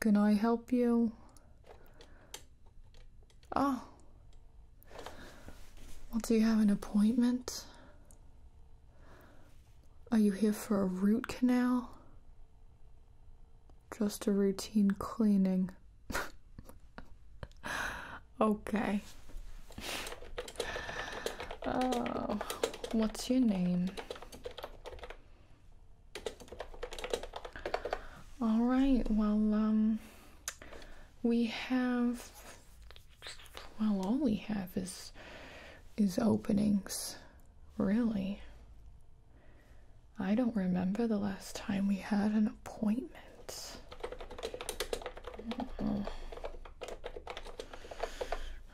Can I help you? Oh. Well, do you have an appointment? Are you here for a root canal? Just a routine cleaning. okay. Oh, what's your name? All right. Well, um we have well all we have is is openings really i don't remember the last time we had an appointment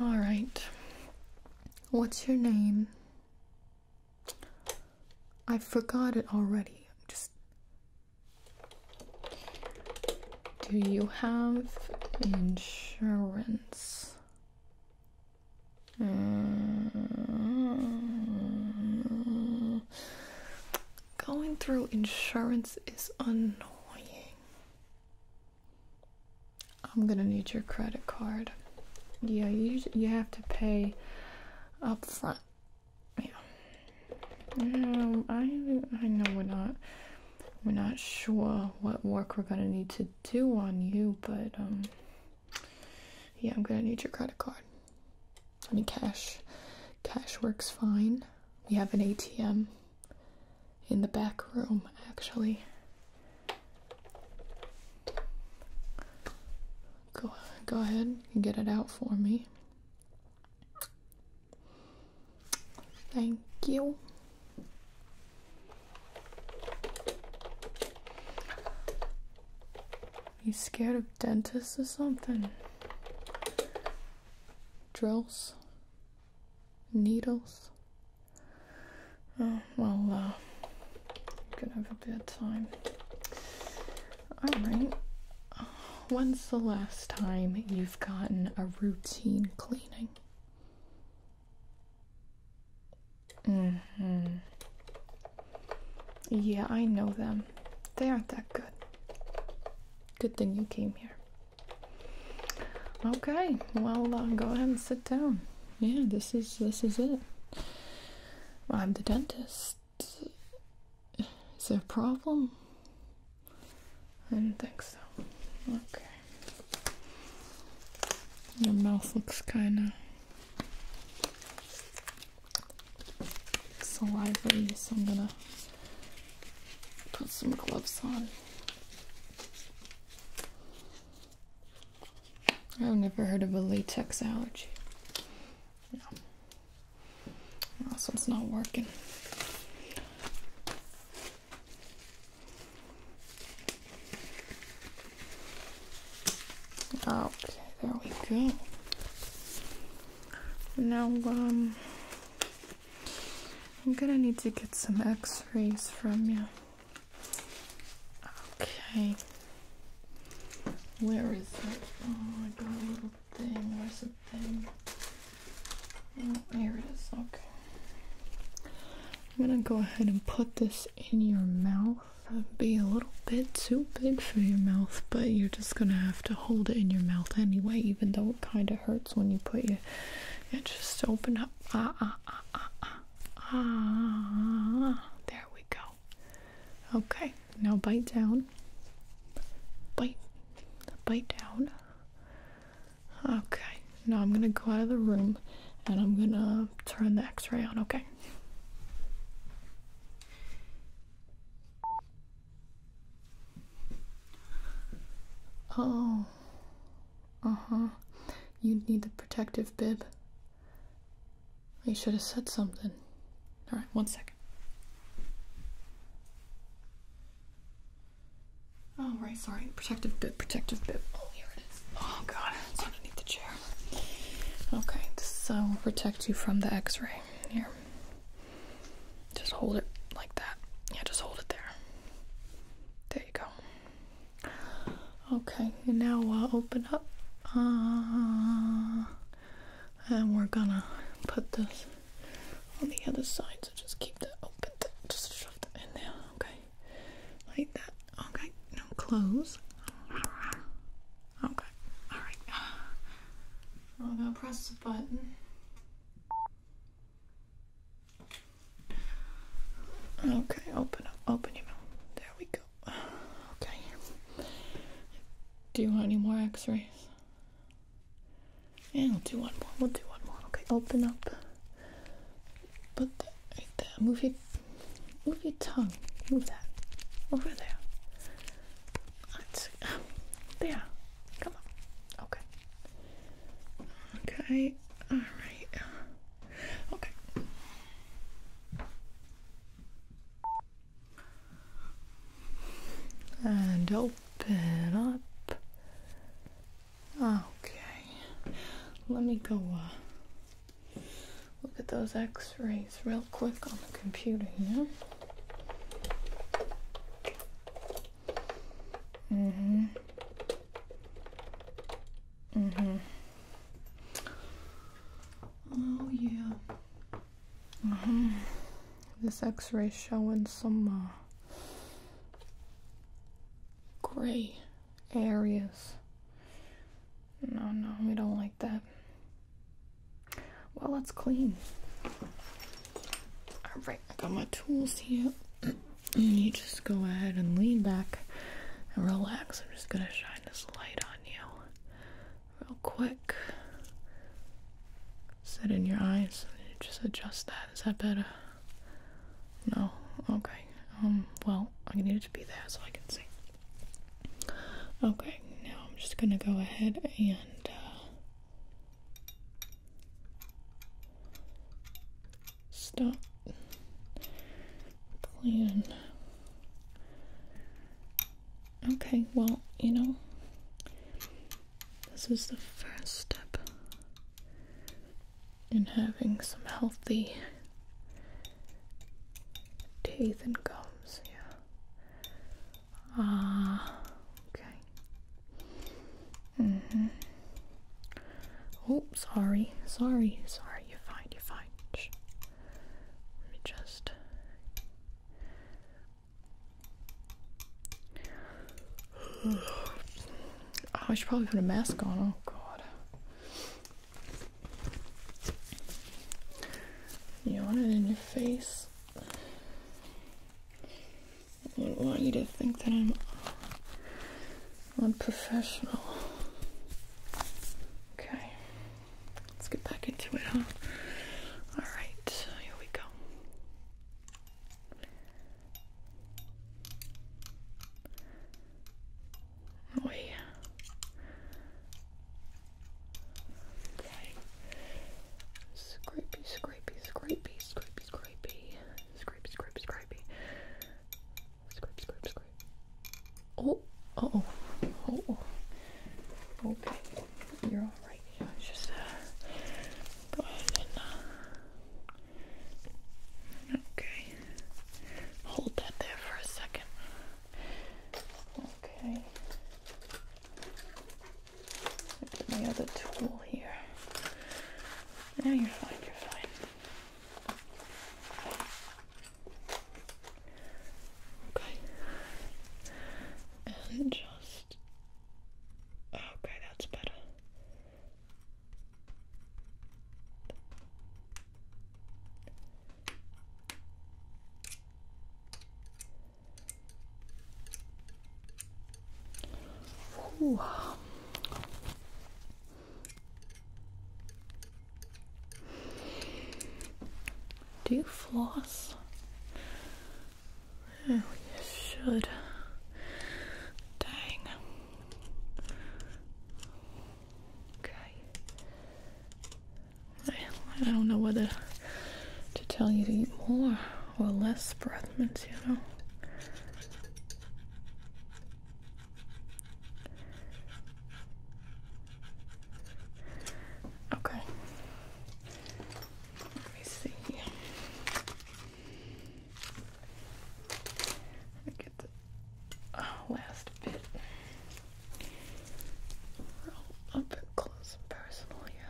all right what's your name I forgot it already. I'm just. Do you have insurance? Mm. Going through insurance is annoying. I'm gonna need your credit card. Yeah, you you have to pay up front yeah. Um, I I know we're not we're not sure what work we're gonna need to do on you, but um, yeah, I'm gonna need your credit card. I mean, cash cash works fine. We have an ATM in the back room, actually. Go, go ahead and get it out for me. Thank you. You scared of dentists or something? Drills? Needles? Oh, well, uh, gonna have a bad time. All right. When's the last time you've gotten a routine cleaning? hmm. Yeah, I know them. They aren't that good. Good thing you came here. Okay, well, uh, go ahead and sit down. Yeah, this is this is it. I'm the dentist. Is there a problem? I do not think so. Okay. Your mouth looks kinda salivary, so I'm gonna put some gloves on. I've never heard of a latex allergy. No this one's not working. Okay, there we go. Now, um, I'm gonna need to get some x rays from you. Okay. Where is it? Oh, I got a little thing. Where's the thing? Oh, here it is. Okay. I'm gonna go ahead and put this in your mouth. It'd be a little bit too big for your mouth, but you're just gonna have to hold it in your mouth anyway, even though it kind of hurts when you put your. It just open up. Ah, ah, ah, ah, ah, ah. There we go. Okay. Now bite down. Bite. Bite down. Okay. Now I'm gonna go out of the room and I'm gonna turn the x-ray on, okay? Oh. Uh-huh. You need the protective bib. You should have said something. All right, one second. Oh, right, sorry. Protective bit. protective bit. Oh, here it is. Oh, God, it's underneath the chair. Okay, so will protect you from the x ray. Here. Just hold it like that. Yeah, just hold it there. There you go. Okay, now now uh, will open up. Uh, and we're gonna put this on the other side so just keep that open just shove it in there okay like that okay now close okay all right i'm gonna press the button okay open up open your mouth there we go okay do you want any more x rays? Yeah, we'll do one more. We'll do one more. Okay, open up. Put that right there. Move your, move your tongue. Move that. Over there. That's, um, there. Come on. Okay. Okay. Alright. Okay and open up. Okay, let me go uh, look at those x rays real quick on the computer here. Mm hmm. Mm hmm. Oh, yeah. Mm-hmm. This x-ray showing some uh, gray areas. No, no, we don't like that. Well, it's clean. Alright, I got my tools here. you just go ahead and lean back and relax. I'm just gonna shine this light on you real quick. set in your eyes just adjust that. Is that better? No. Okay. Um, well, I need it to be there so I can see. Okay, now I'm just gonna go ahead and uh, stop plan Okay, well, you know, this is the first step in having some healthy teeth and gums, yeah. Ah, okay. hmm Oh, sorry, sorry, sorry, you're fine, you're fine. Let me just I oh, should probably put a mask on. Oh god. You want it in your face? I wouldn't want you to think that I'm unprofessional. Okay. Let's get back into it, huh? Alright, here we go. Oh yeah. Okay. Scrapey, scrapey, scrapey, scrapey, scrapey. Scrape, scrape, scrapey. Scrape, Oh, oh. Oh, Okay. You're all right here. It's just go ahead and okay, hold that there for a second. Okay, put my other tool here. Now you're fine. You're fine. Okay. And just okay, that's better. Ooh. Do floss? Oh, should. Dang. Okay. I, don't know whether to tell you to eat more or less breath mints, you know. Okay. Let me see. Let get the oh, last bit. Roll up close and personal, yeah.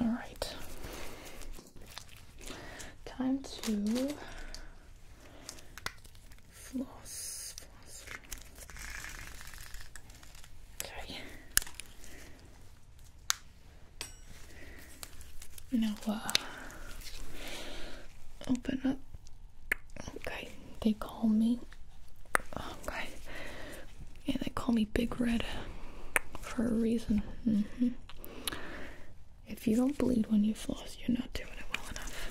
All right. Time to floss. floss. Okay. Now, uh, open up Okay, they call me. Okay, yeah, they call me Big Red for a reason. Mm-hmm. If you don't bleed when you floss, you're not doing it well enough.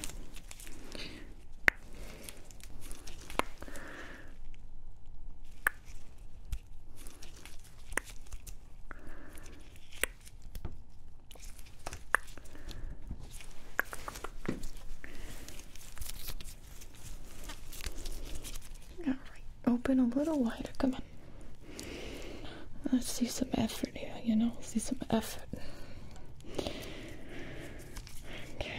Alright, open a little wider. Come on. Let's see some effort here, you know? Let's see some effort. Okay.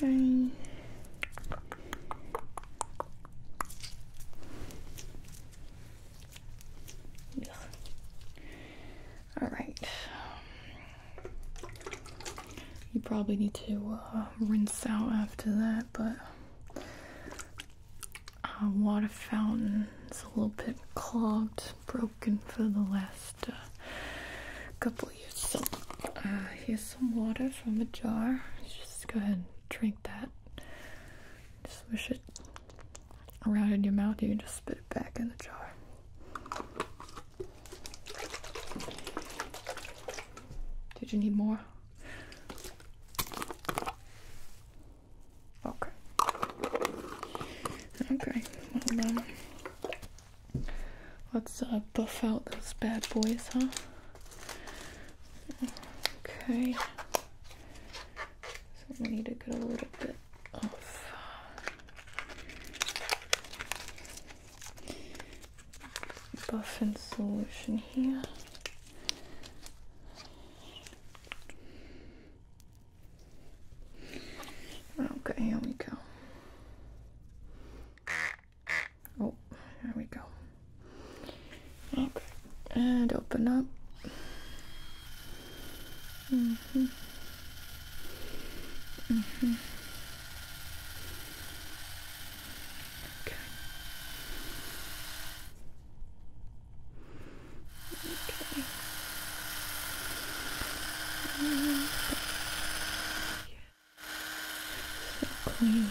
Okay. All right. You probably need to uh, rinse out after that, but our uh, water fountain is a little bit clogged, broken for the last uh, couple years. So here's some water from a jar. Just go ahead and drink that swish it around in your mouth. You can just spit it back in the jar. Did you need more? Okay. Okay. Well, um, let's uh, buff out those bad boys, huh? Okay. So we need to get a little bit of Buffing solution here. Okay, here we go. Oh, here we go. Okay, and open up. Mm-hmm. Mm-hmm. Okay. Okay. Mm-hmm. So clean.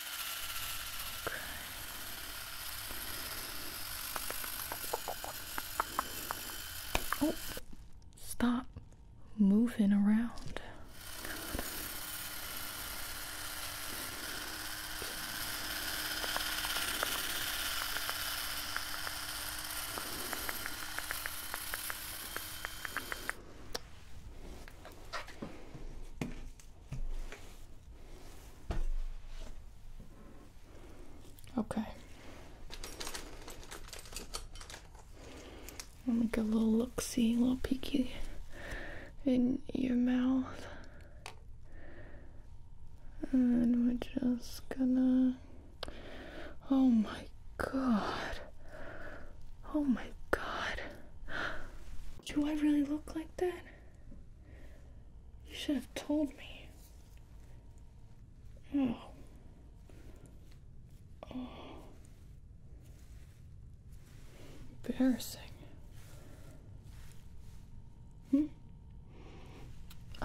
Oh, stop moving around. Okay. Let me get a little look see, a little peeky in your mouth. And we're just gonna. Oh my god. Oh my god. Do I really look like that? You should have told me. Oh. Oh. Embarrassing. Hmm?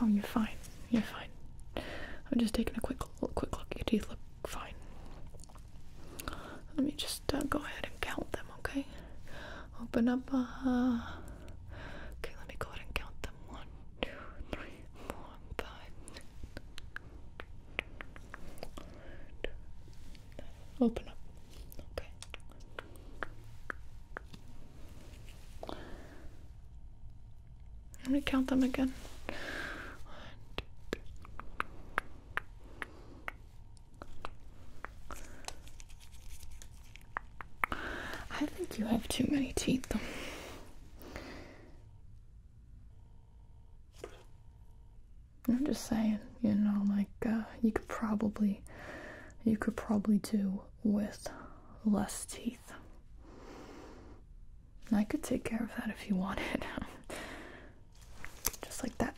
Oh, you're fine. You're fine. I'm just taking a quick, quick look. Your teeth look fine. Let me just uh, go ahead and count them, okay? Open up. Uh, okay, let me go ahead and count them. One, two, three, four, five. Open up. Okay. Let me count them again. One, two, three, I think you have too many teeth. I'm just saying, you know, like uh, you could probably, you could probably do with less teeth. I could take care of that if you wanted. Just like that.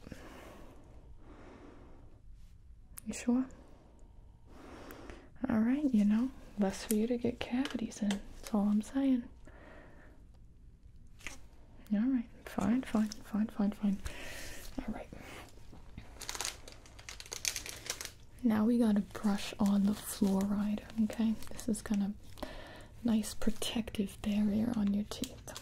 You sure? Alright, you know, less for you to get cavities in. That's all I'm saying. Alright, fine, fine, fine, fine, fine. Alright. Now we gotta brush on the fluoride, okay? This is gonna nice protective barrier on your teeth.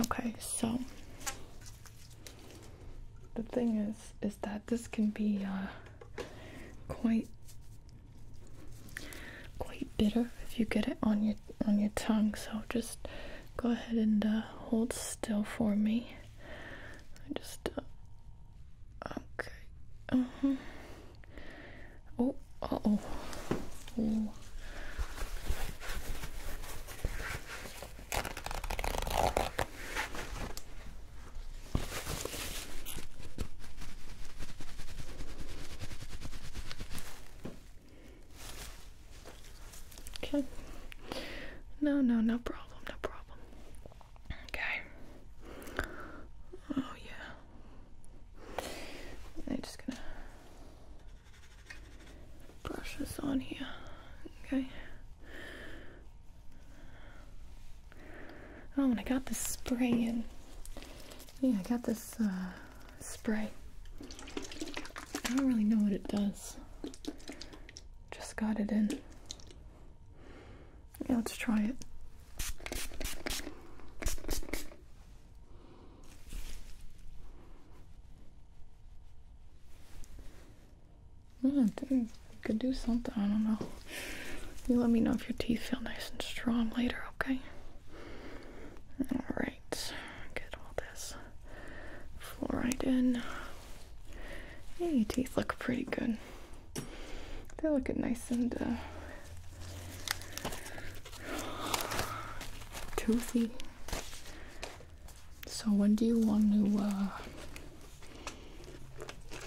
Okay, so the thing is, is that this can be uh, quite quite bitter if you get it on your on your tongue. So just go ahead and uh, hold still for me. I just uh, okay. Uh -huh. Oh, uh oh, oh. Okay. No, no, no problem no problem. Okay. Oh, yeah. I'm just gonna brush this on here. Okay. Oh, and I got this spray in. Yeah, I got this uh, spray. I don't really know what it does. Just got it in. Yeah, let's try it. Yeah, mm, dude, could do something. I don't know. You let me know if your teeth feel nice and strong later, okay? All right. Get all this fluoride in. Hey, your teeth look pretty good. They're looking nice and uh, toothy. So when do you want to? Uh,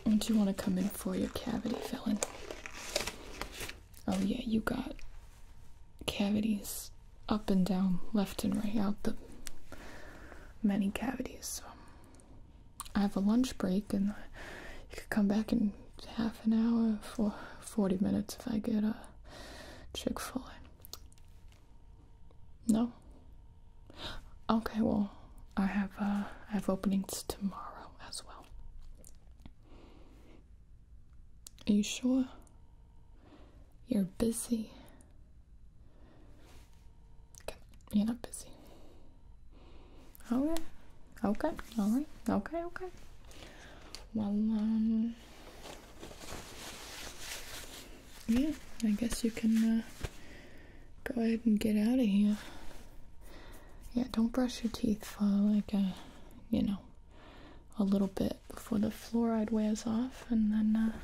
when do you want to come in for your cavity filling? Oh yeah, you got cavities up and down, left and right, out the many cavities. So I have a lunch break, and you could come back in half an hour for 40 minutes if I get a Chick fil A. No? Okay, well, I have, uh, I have openings tomorrow as well. Are you sure? You're busy. You're not busy. Okay. Okay. All right. Okay. Okay. Well, um, yeah, I guess you can uh, go ahead and get out of here. Yeah, don't brush your teeth for like a, uh, you know, a little bit before the fluoride wears off, and then uh,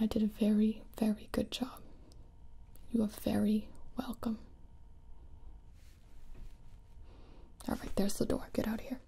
I did a very, very good job. You are very welcome. All right, there's the door. Get out of here.